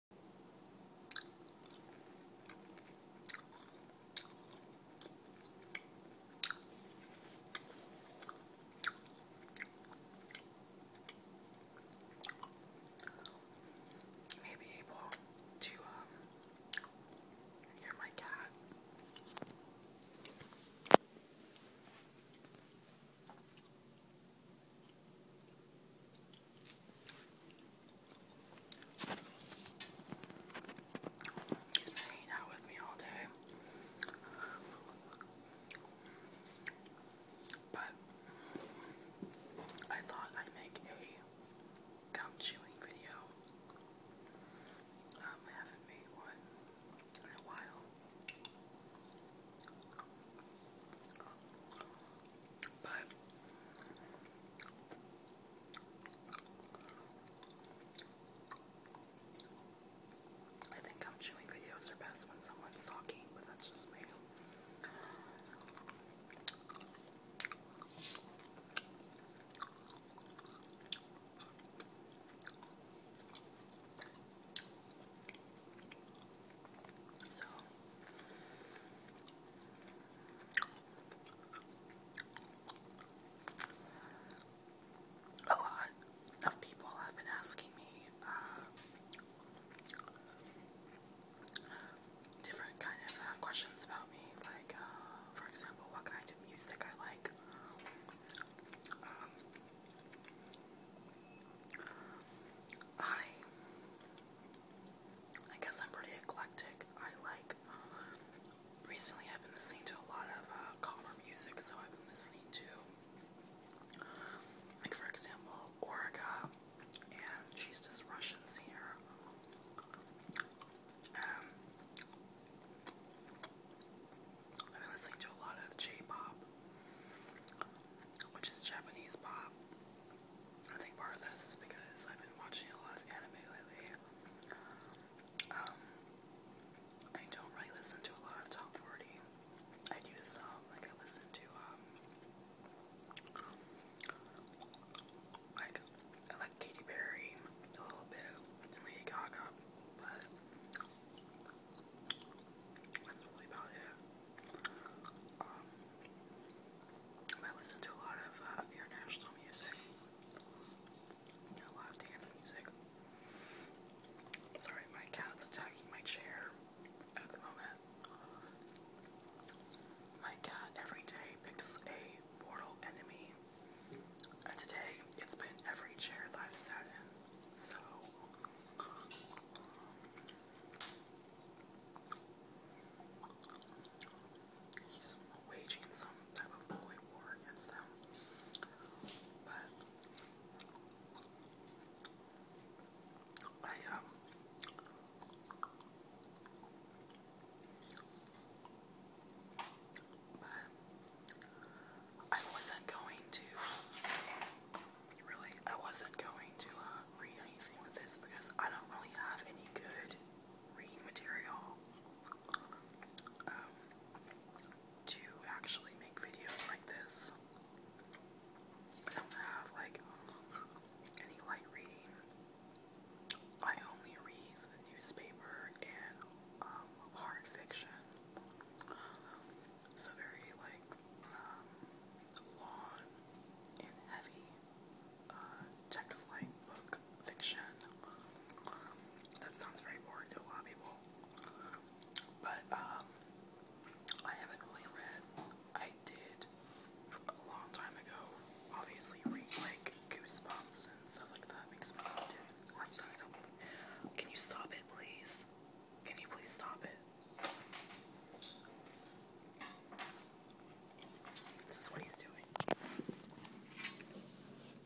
You may be able to um, hear my cat. He's been hanging out with me all day. But I thought I'd make a gum chewing video. Um, I haven't made one in a while. But I think I'm chewing videos are best when someone's talking, but that's just me. So a lot of people have been asking me uh, different kind of uh, questions about me, like, uh, for example, what kind of music I like. Um, I I guess I'm pretty eclectic. I like, recently I've been listening to a lot of uh, calmer music, so I've been listening to, like, for example, Orga, and she's this Russian singer. Um, I've been listening to a lot of J pop which is Japanese pop. I think part of this is because I've been watching a lot of anime lately. Um, I don't really listen to a lot of top 40. I do some, like I listen to, um, like, I like Katy Perry a little bit and Lady Gaga, but that's really about it. Um, I listen to a lot of uh, international music, a lot of dance music. Sorry, my cat's attacking my chair at the moment. My cat every day picks a mortal enemy, and today it's been every chair that i So, He's waging some type of holy war against them. But I um but I wasn't going to really, I wasn't going to uh, read anything with this because I don't really have any good reading material um, to actually make videos like this. I don't have like any light reading. I only read the newspaper and um, hard fiction. It's very like um, long and heavy uh, text-like book fiction. that sounds very boring to a lot of but um, I haven't really read. I did a long time ago. Obviously, read like Goosebumps and stuff like that because my mom did. Can you stop it, please? Can you please stop it? This is what he's doing.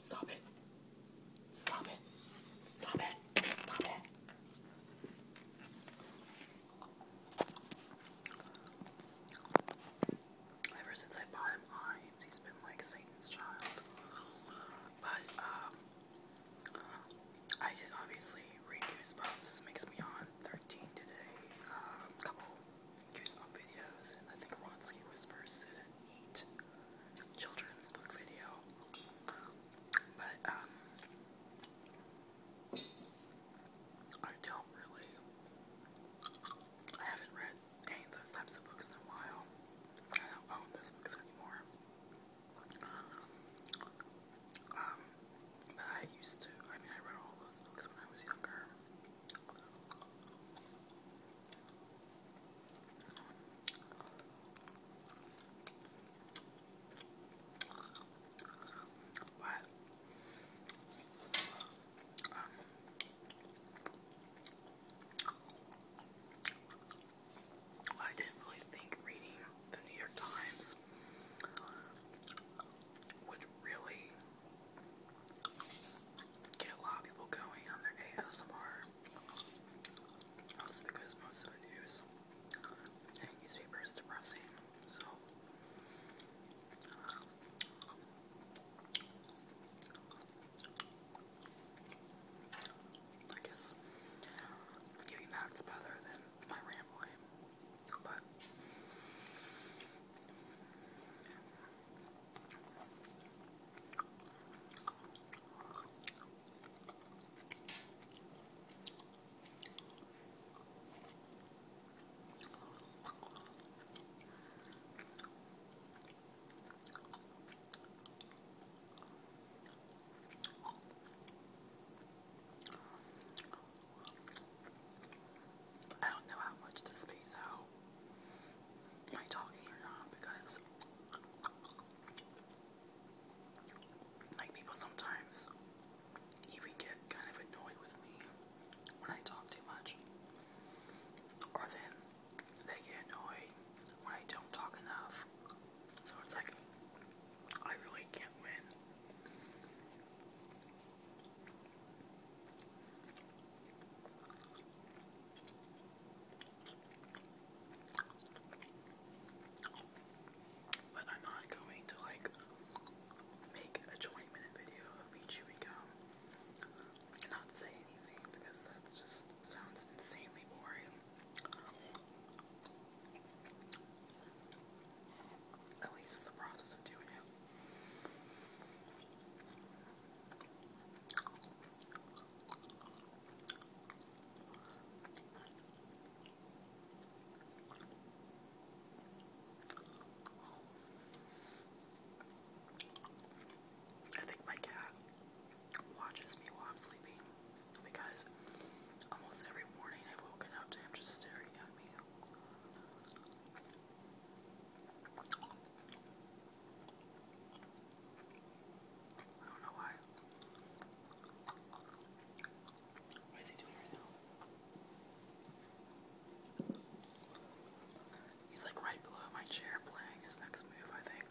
Stop it. Stop it. Stop it. Stop it. Ever since I bought him on he's been like Satan's child. But um, I did obviously read Goosebumps, Makes Me On 13 today, a um, couple Goosebump videos, and I think Ronsky Whispers did a neat children's book video. But, um, I don't really, I haven't read any of those types of books in a while. I don't own those books anymore. Um, but I used to, I mean, I read all those books when I was younger. But, um, I didn't really think reading the New York Times would really get a lot of people going on their ASMR. Also because most of the news and newspaper depressing, so um, I guess getting that's better than my rambling. But I don't know how much to space out my talking or not because like people sometimes even get kind of annoyed with me when I talk too much. Or then they get annoyed when I don't talk enough. So it's like, I really can't win. But I'm not going to like make a 20 minute video of me chewing gum and not say anything because that sounds insanely boring. At least the process of doing it. I think my cat watches me while I'm sleeping because almost every morning I've woken up to him just staring at me. I don't know why. What is he doing right now? He's like right below my chair playing his next move, I think.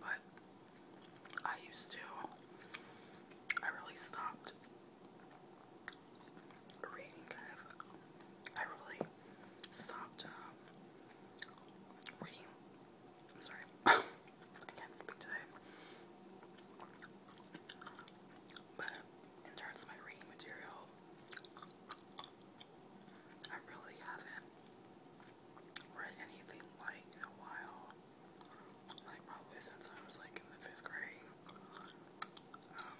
But I used to, I really stopped reading kind of, I really stopped um, reading I'm sorry. I can't speak today. But in terms of my reading material, I really haven't read anything light in a while. Like probably since I was like in the fifth grade. Um,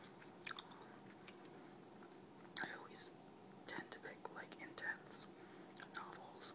I always tend to pick like intense novels.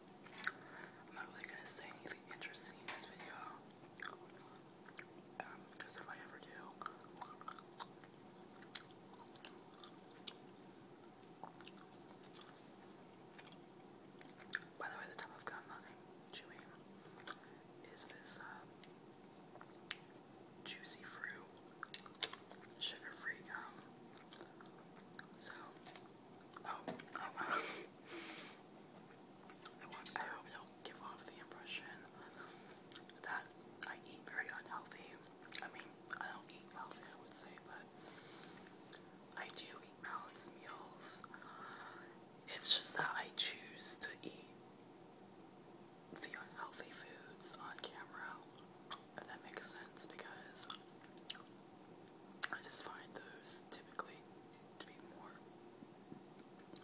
I'm not really gonna say anything interesting in this video. because um, if I ever do, by the way, the type of gum chewing is this uh, juicy fruit, sugar-free gum. So Oh, I, want, I hope don't give off the impression that I eat very unhealthy. I mean, I don't eat healthy, I would say, but I do eat balanced meals. It's just that I choose to eat the unhealthy foods on camera, if that makes sense, because I just find those typically to be more,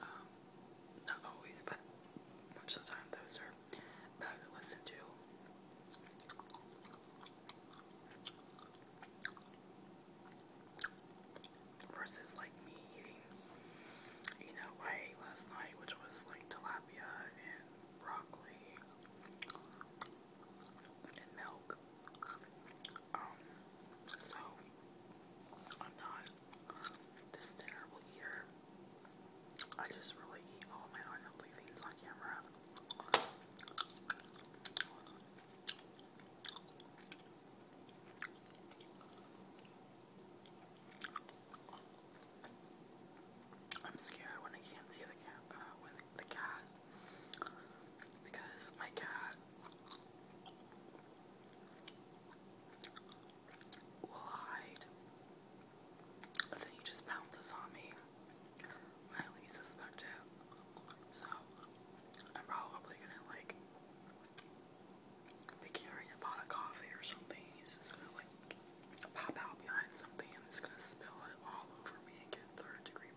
um, not always, but much of the time those are better to listen to. Versus like me eating, you know, I ate last night, which was like tilapia and broccoli um, so I'm not this terrible eater. I just really eat all my unhealthy things on camera. I'm scared when I can't see the cat. Uh, the cat because my cat will hide, but then he just pounces on me when I suspect it. So I'm probably gonna like be carrying a pot of coffee or something. He's just gonna like pop out behind something and it's gonna spill it all over me and get third degree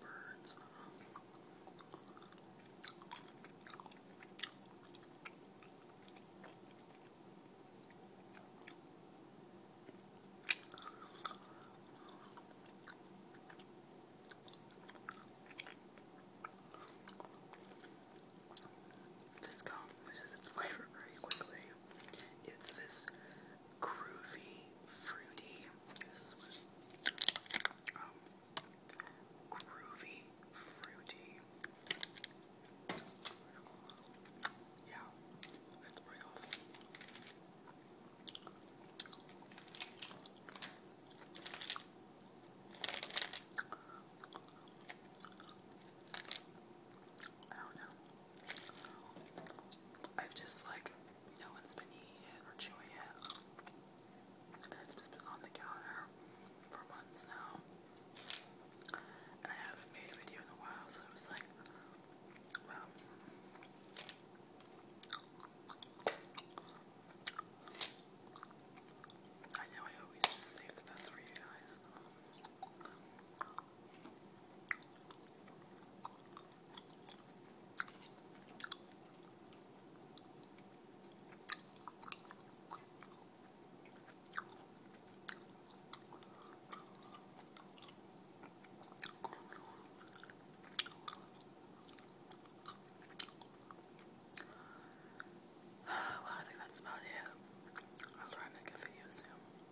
this gum its flavor very quickly. It's this groovy fruity. This is what um groovy fruity. Yeah, that's pretty awful. I don't know. I've just like no one's been eating it or chewing it. And it's just been on the counter for months now. And I haven't made a video in a while, so it was like well I know I always just save the best for you guys. well, I think that's about it. I'll try and a video soon.